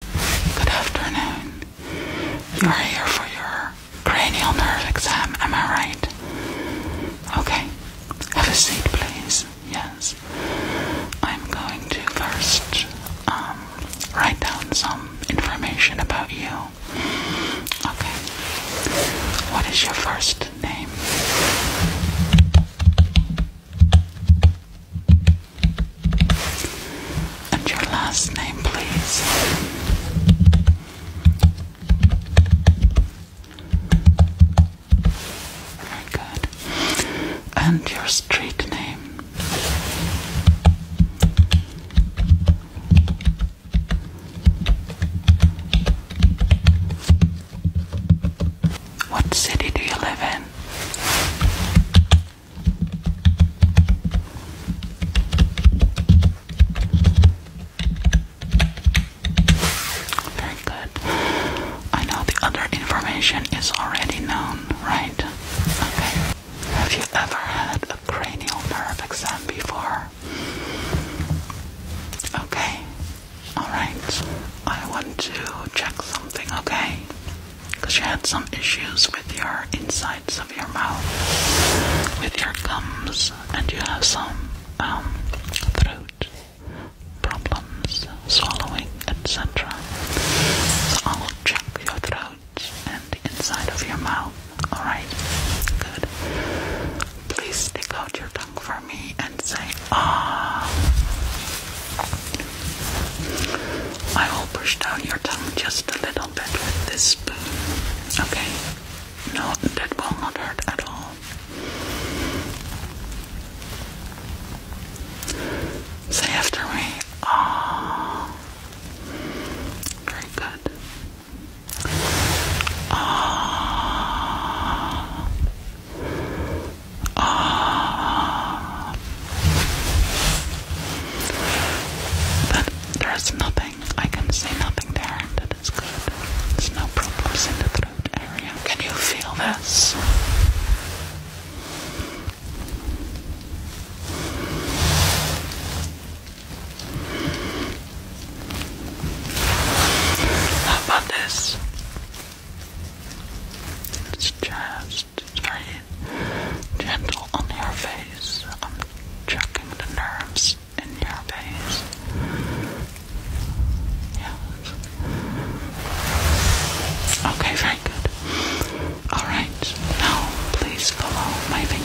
Good afternoon. You're here for your cranial nerve exam, am I right? Okay. Have a seat, please. Yes. I'm going to first um, write down some information about you. Okay. What is your first name? And your last name, please. Very good. And your street name. What city do you live in? Very good. I know the other information is already known, right? Okay. Have you ever had a cranial nerve exam before? Okay. Alright. I want to check something, okay? because you had some issues with your insides of your mouth, with your gums, and you have some um, throat problems, swallowing, etc. So I will check your throat and the inside of your mouth. Alright? Good. Please stick out your tongue for me and say uh, I will push down your tongue just a little bit with this spoon. Okay? No, that will not hurt at all. Say after me. Ah. Very good. Ah. Ah. But there's nothing. I can see nothing there. That is good. There's no problems in the throat area. Can you feel this? How about this? It's just very gentle on your face. I'm checking the nerves in your face. Yes. Okay, very good. Alright, now please follow my finger.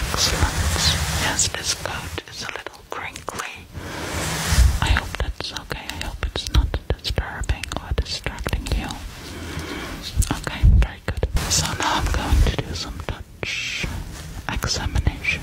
Excellent. Yes, this coat is a little crinkly. I hope that's okay. I hope it's not disturbing or distracting you. Okay, very good. So now I'm going to do some touch examination.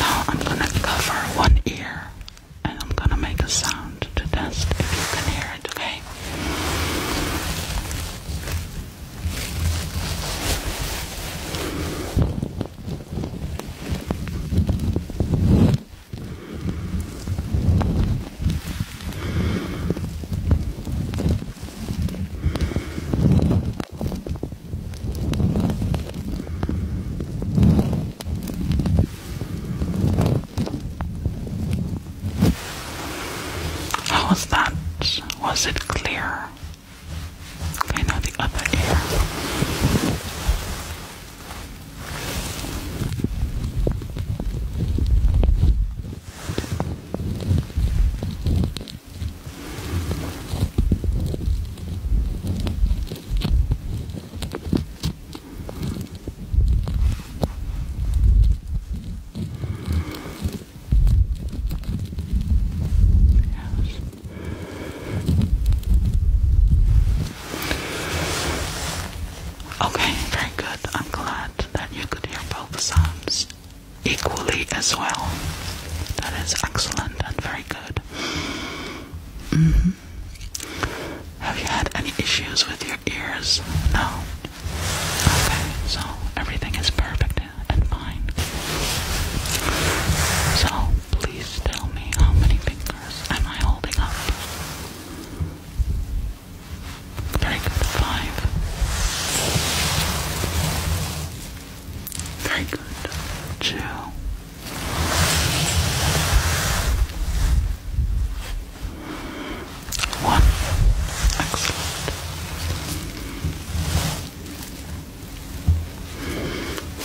Now I'm gonna cover one ear and I'm gonna make a sound to test if you can hear it, okay? Okay. How was that? Was it clear? Okay, now the other ear. Okay, very good. I'm glad that you could hear both sounds equally as well. That is excellent and very good. Mm-hmm. Have you had any issues with your ears? No. Okay, so everything is perfect and fine. So please tell me how many fingers am I holding up? Very good. Five. Very good. Excellent.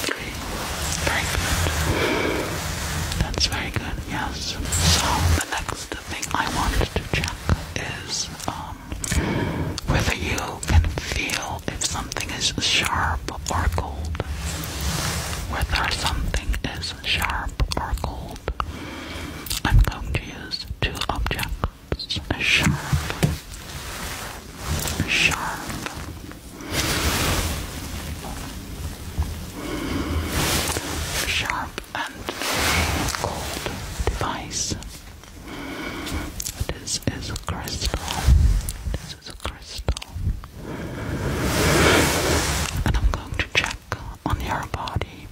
Three. Very good. That's very good, yes. So the next thing I want to check is um, whether you can feel if something is sharp or cold, whether something is sharp or cold. I'm going to use two objects, sharp, sharp. Sharp and cold device. This is a crystal. This is a crystal. And I'm going to check on your body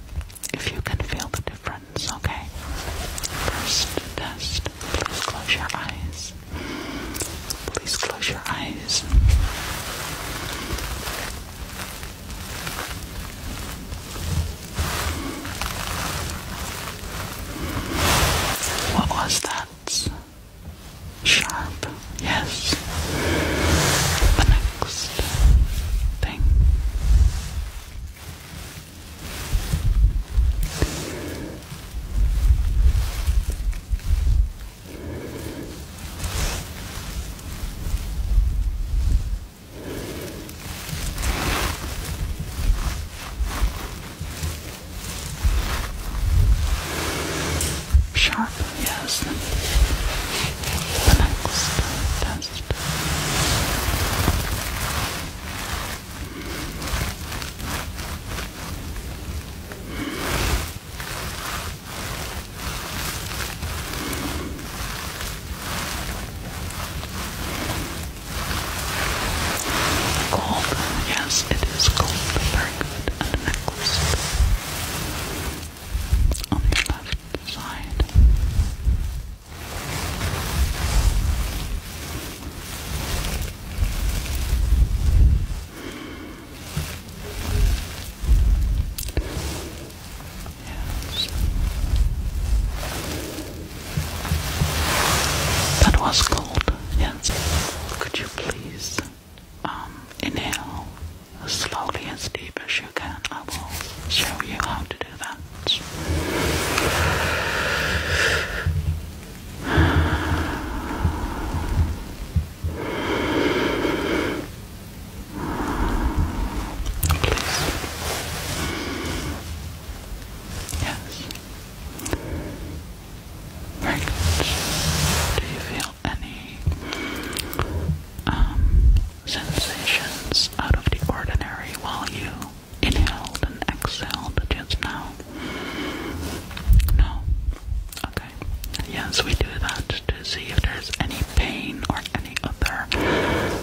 if you can feel the difference, okay? First test. Please close your eyes. Please close your eyes. What was that? Sharp, yes. The next thing. Sharp, yes. The next test. Gold, yes, it is gold, very good. And necklace on the left side. That was cold, yes. Could you please um, inhale slowly as deep as you can? I will show you how to do that. Yes. Very Do you feel any um, sensations out of the ordinary while you inhaled and exhaled just now? No. Okay. Yes, we do that to see if there's any pain or any other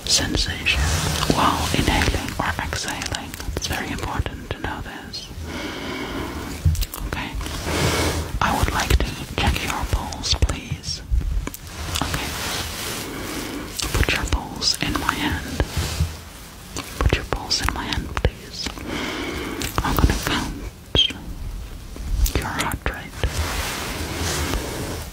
sensation while inhaling or exhaling. It's very important to know this. Okay. I would like to check your pulse, please. Okay. Put your pulse in my hand. Put your pulse in my hand, please. I'm gonna count your heart rate.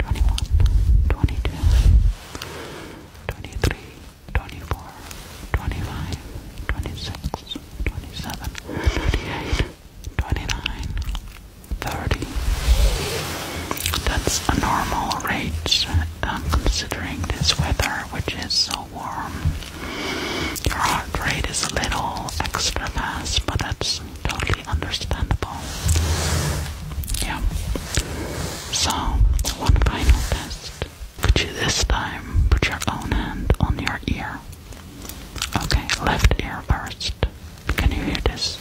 21, 22, 23, 24, 25, 26, 27, 28, 29, 30. That's a normal rate considering this weather, which is so warm. Your heart rate is a little extra fast, but that's totally understandable. Yeah. So, one final test. Could you this time put your own hand on your ear? Okay, left ear first. Can you hear this?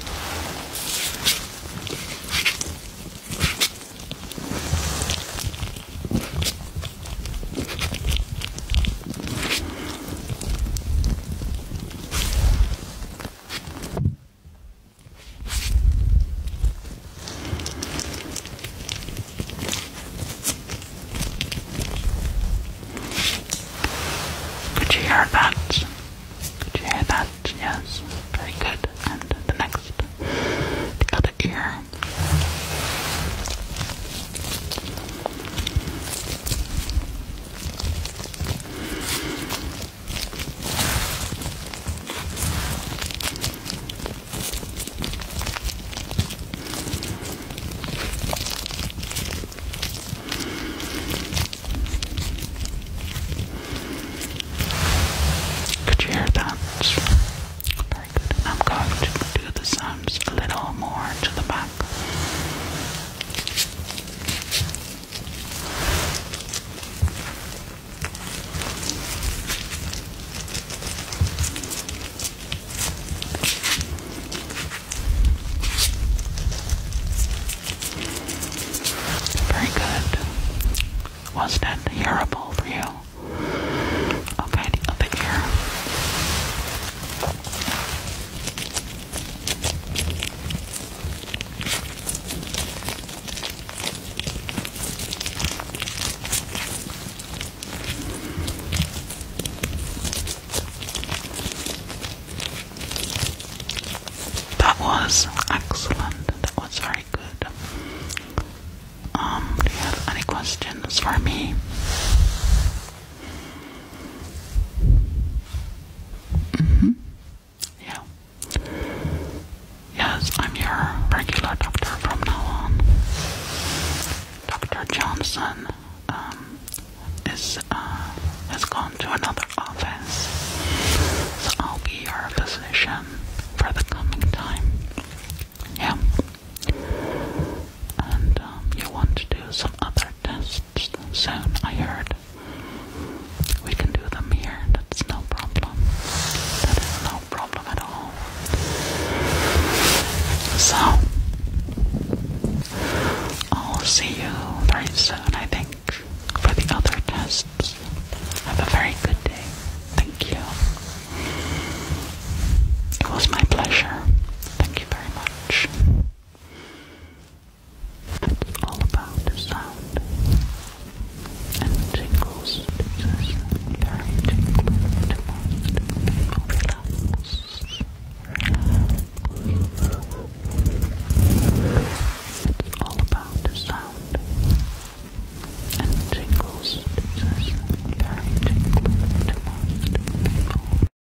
Could you hear that? Could you hear that? Yes, very good. And the next, other ear. Could you hear that? I'm going to do the sounds a little more to the back. Very good. Was that hearable for you? Okay, the other ear. That was excellent. That was very good. Um, do you have any questions for me? Mm hmm Yeah. Yes, I'm your regular doctor from now on. Dr. Johnson um, is uh, has gone to another office, so I'll be your physician for the coming time. Yeah. And um, you want to do some other tests soon, I heard we can do them here. That's no problem. That is no problem at all. So, I'll see you very soon, I think, for the other tests. Have a very good day. Thank you. It was my pleasure. Thank you very much all about the sound and tingles. This is very tingly to It's all about the sound and tingles. This is very tingly to